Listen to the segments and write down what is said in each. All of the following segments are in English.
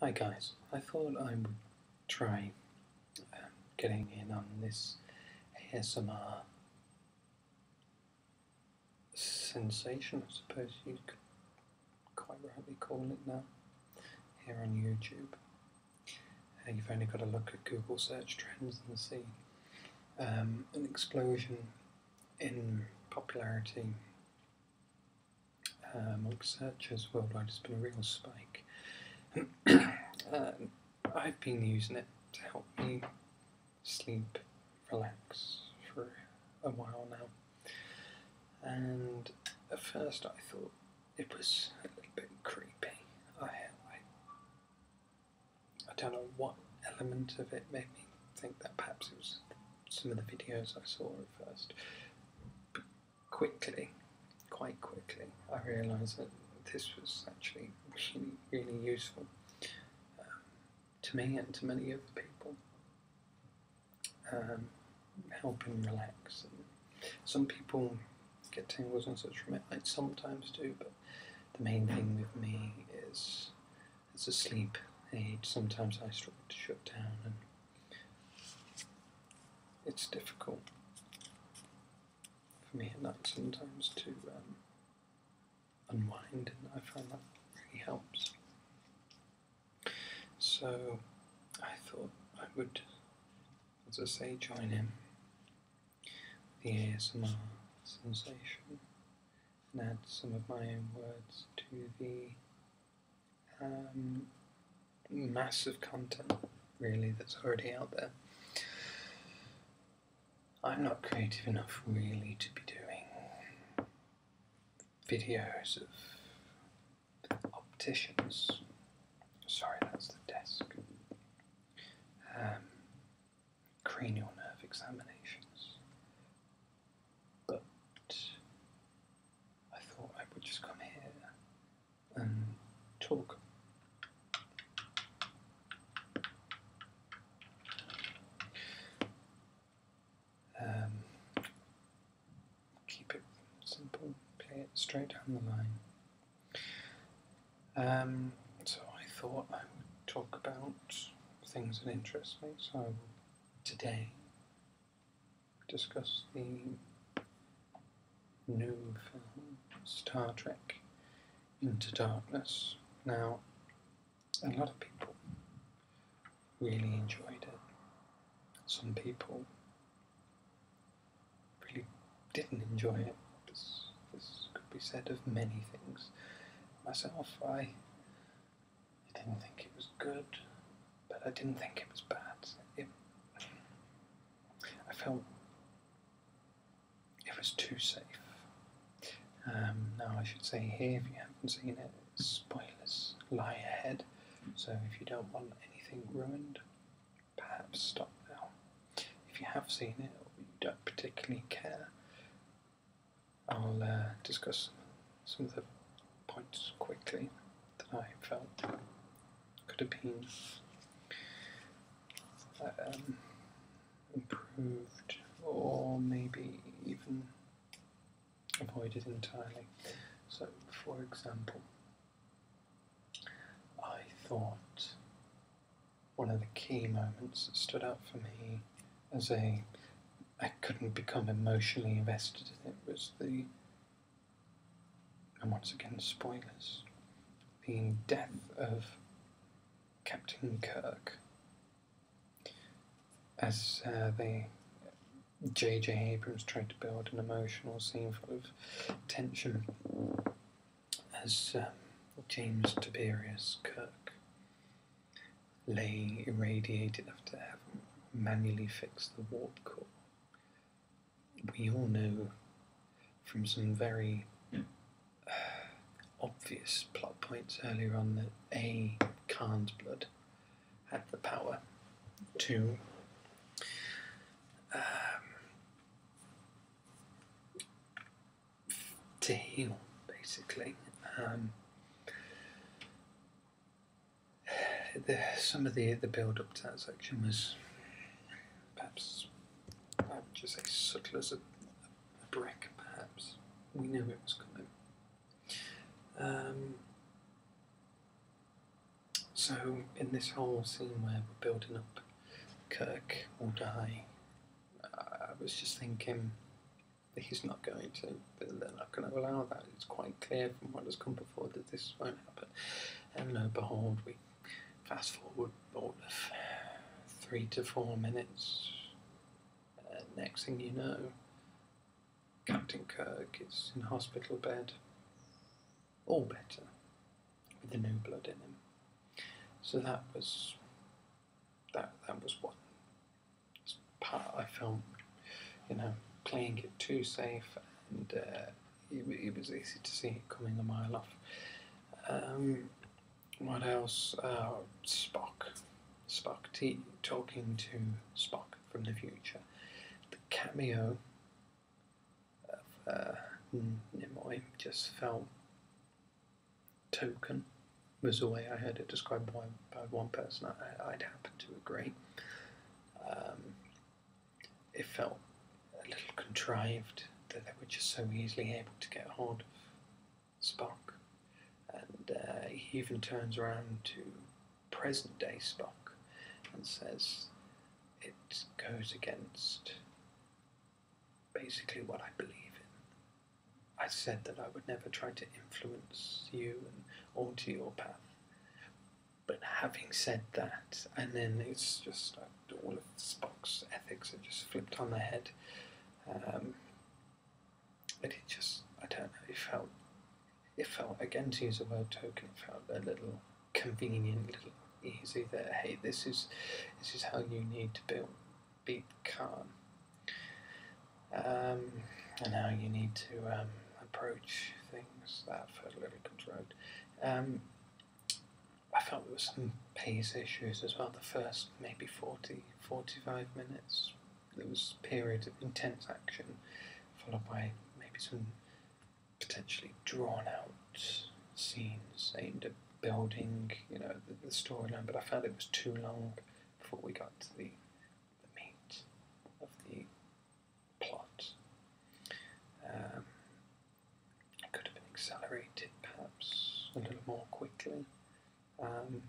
Hi guys, I thought I would try um, getting in on this ASMR sensation, I suppose you could quite rightly call it now, here on YouTube. Uh, you've only got to look at Google search trends and see um, an explosion in popularity uh, amongst searches worldwide has been a real spike. Um, I've been using it to help me sleep, relax for a while now. And at first I thought it was a bit creepy. I, I don't know what element of it made me think that perhaps it was some of the videos I saw at first. quickly, quite quickly, I realised that this was actually really, really useful um, to me and to many other people. Um, helping relax. some people get tangles and such from it. I sometimes do, but the main thing with me is it's a sleep aid, sometimes I struggle to shut down, and it's difficult for me at night sometimes to um, unwind, and I find that really helps. So I thought I would, as I say, join in the ASMR sensation and add some of my own words to the um, mass of content, really, that's already out there. I'm not creative enough, really, to be doing videos of opticians. Sorry, that's the desk. Um, cranial nerve examinations. But I thought I would just come here and talk. Um, keep it simple, play it straight down the line. Um, so I thought I would talk about things that interest me. So today discuss the new film Star Trek Into Darkness. Now, a lot of people really enjoyed it. Some people really didn't enjoy it. This, this could be said of many things. Myself, I, didn't think it was good, but I didn't think it was bad. It, I felt it was too safe. Um, now, I should say here, if you haven't seen it, spoilers lie ahead, so if you don't want anything ruined, perhaps stop now. If you have seen it or you don't particularly care, I'll uh, discuss some of the points quickly that I felt could have been um, improved or maybe even avoided entirely. So, for example, I thought one of the key moments that stood out for me as a I couldn't become emotionally invested in it was the and once again spoilers the death of Captain Kirk as uh, they J.J. Abrams tried to build an emotional scene full of tension as um, James Tiberius Kirk lay irradiated after having manually fixed the warp core. We all know from some very uh, obvious plot points earlier on that A. Khan's blood had the power to um, to heal, basically. Um, the, some of the the build up to that section was perhaps I would just say subtle as a, brick. Perhaps we knew it was coming. Um, so, in this whole scene where we're building up Kirk will die, I was just thinking he's not going to, they're not going to allow that. It's quite clear from what has come before that this won't happen. And lo behold, we fast forward all of three to four minutes. Uh, next thing you know, Captain Kirk is in hospital bed, all better with the new blood in him. So that was that that was one part I felt, you know, playing it too safe, and uh, it, it, was easy to see coming a mile off. Um, what else? Uh, Spock, Spock t- talking to Spock from the future. The cameo of uh, Nimoy just felt token was the way I heard it described by, by one person. I, would happen to agree. Um, it felt a little contrived that they were just so easily able to get hold of Spock. And uh, he even turns around to present day Spock and says it goes against basically what I believe in. I said that I would never try to influence you and alter your path. But having said that, and then it's just like all of Spock's ethics are just flipped on the head. Um, but it just, I don't know, it felt it felt, again to use a word token, it felt a little convenient, little easy there. hey, this is this is how you need to build beat um, and how you need to um, approach things. That felt a little contrived. Um, I felt there was some pace issues as well. The first maybe 40, 45 minutes, there was a period of intense action, followed by maybe some potentially drawn out scenes aimed at building, you know, the, storyline, but I found it was too long before we got to the, the meat of the plot. Um, it could have been accelerated perhaps a little more quickly. Um,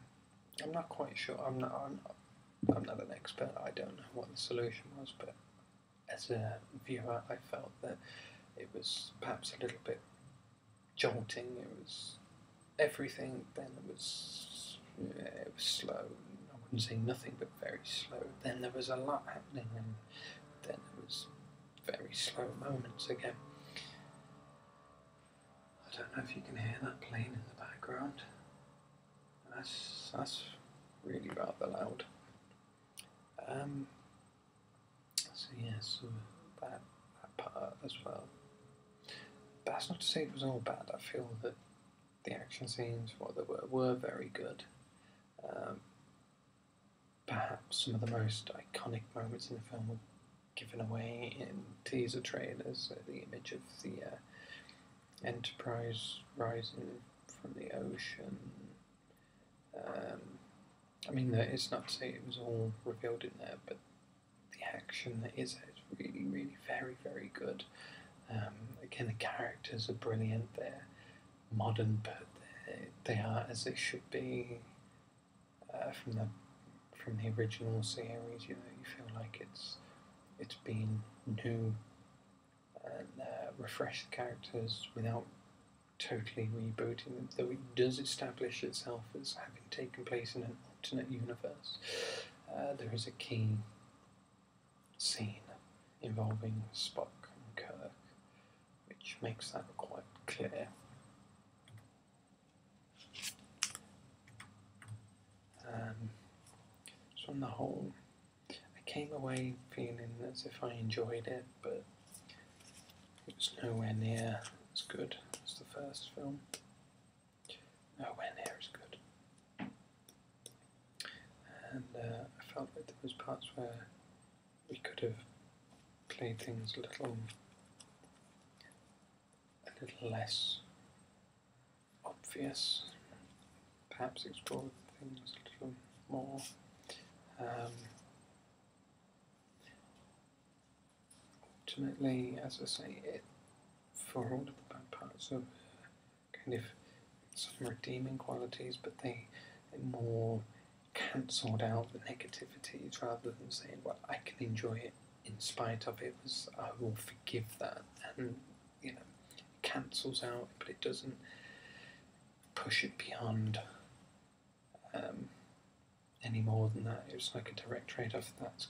I'm not quite sure. I'm not, I'm not an expert, I don't know what the solution was, but as a viewer, I felt that it was perhaps a little bit jolting, it was everything, then it was, it was slow, I wouldn't say nothing but very slow, then there was a lot happening, and then there was very slow moments again. I don't know if you can hear that plane in the background. That's, that's really rather loud. Um, so yes, so that, that part as well. that's not to say it was all bad. I feel that the action scenes, what they were, were very good. Um, perhaps some of the most iconic moments in the film were given away in teaser trailers. The image of the uh, Enterprise rising from the ocean. Um, I mean, it's not to say it was all revealed in there, but the action that is there is really, really very, very good. Um, again, the characters are brilliant. there, modern, but they, they are as they should be uh, from the from the original series. You know, you feel like it's it's been new and uh, refreshed characters without totally rebooting them, though it does establish itself as having taken place in an alternate universe. Uh, there is a key scene involving Spock and Kirk, which makes that quite clear. Um, so on the whole, I came away feeling as if I enjoyed it, but it was nowhere near as good as the first film. Nowhere near as good. And uh, I felt like there was parts where we could have played things a little a little less obvious. Perhaps explore things a little more. Um, ultimately, as I say, it, for all of the bad parts so kind of some redeeming qualities, but they more cancelled out the negativities rather than saying, well, I can enjoy it in spite of it was I will forgive that and you know cancels out but it doesn't push it beyond um, any more than that. It was like a direct trade off that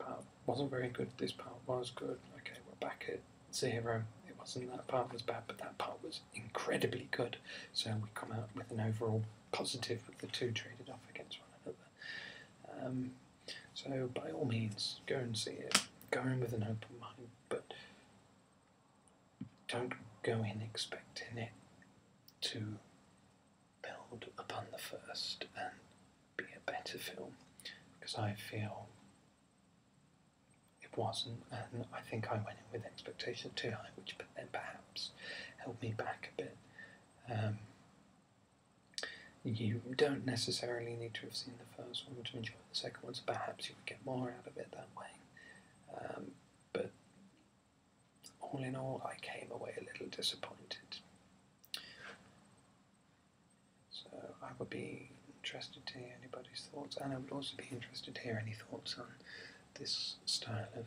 part wasn't very good, this part was good, okay we're back at zero. It wasn't that part was bad but that part was incredibly good so we come out with an overall positive with the two traded off against one um, so by all means, go and see it. Go in with an open mind, but don't go in expecting it to build upon the first and be a better film, because I feel it wasn't, and I think I went in with expectations too high, which then perhaps Help me back a bit. Um, you don't necessarily need to have seen the first one to enjoy the second one, so perhaps you would get more out of it that way. Um, but all in all, I came away a little disappointed. So I would be interested to hear anybody's thoughts, and I would also be interested to hear any thoughts on this style of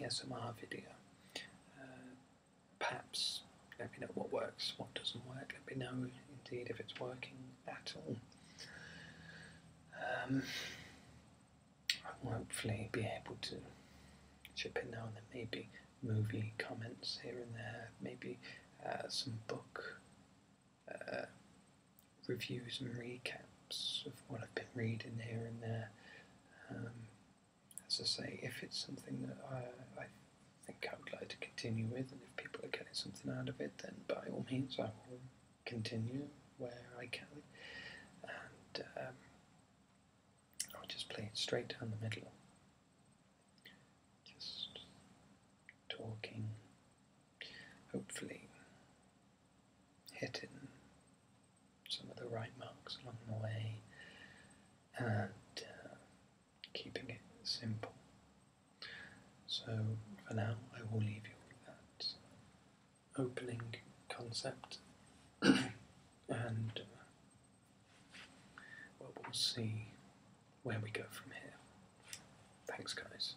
ASMR video. Uh, perhaps let me know what works, what doesn't work, let me know indeed if it's working at all. Um, hopefully be able to chip in now and then, maybe movie comments here and there, maybe uh, some book uh, reviews and recaps of what I've been reading here and there. Um, as I say, if it's something that I, I think I would like to continue with, and if people are getting something out of it, then by all means I will continue where I can. And um, I'll just play it straight down the middle. Just talking. Hopefully, hitting some of the right marks along the way and uh, keeping it simple. So for now, I will leave you with that opening concept and uh, well, we'll see where we go from here. Thanks, guys.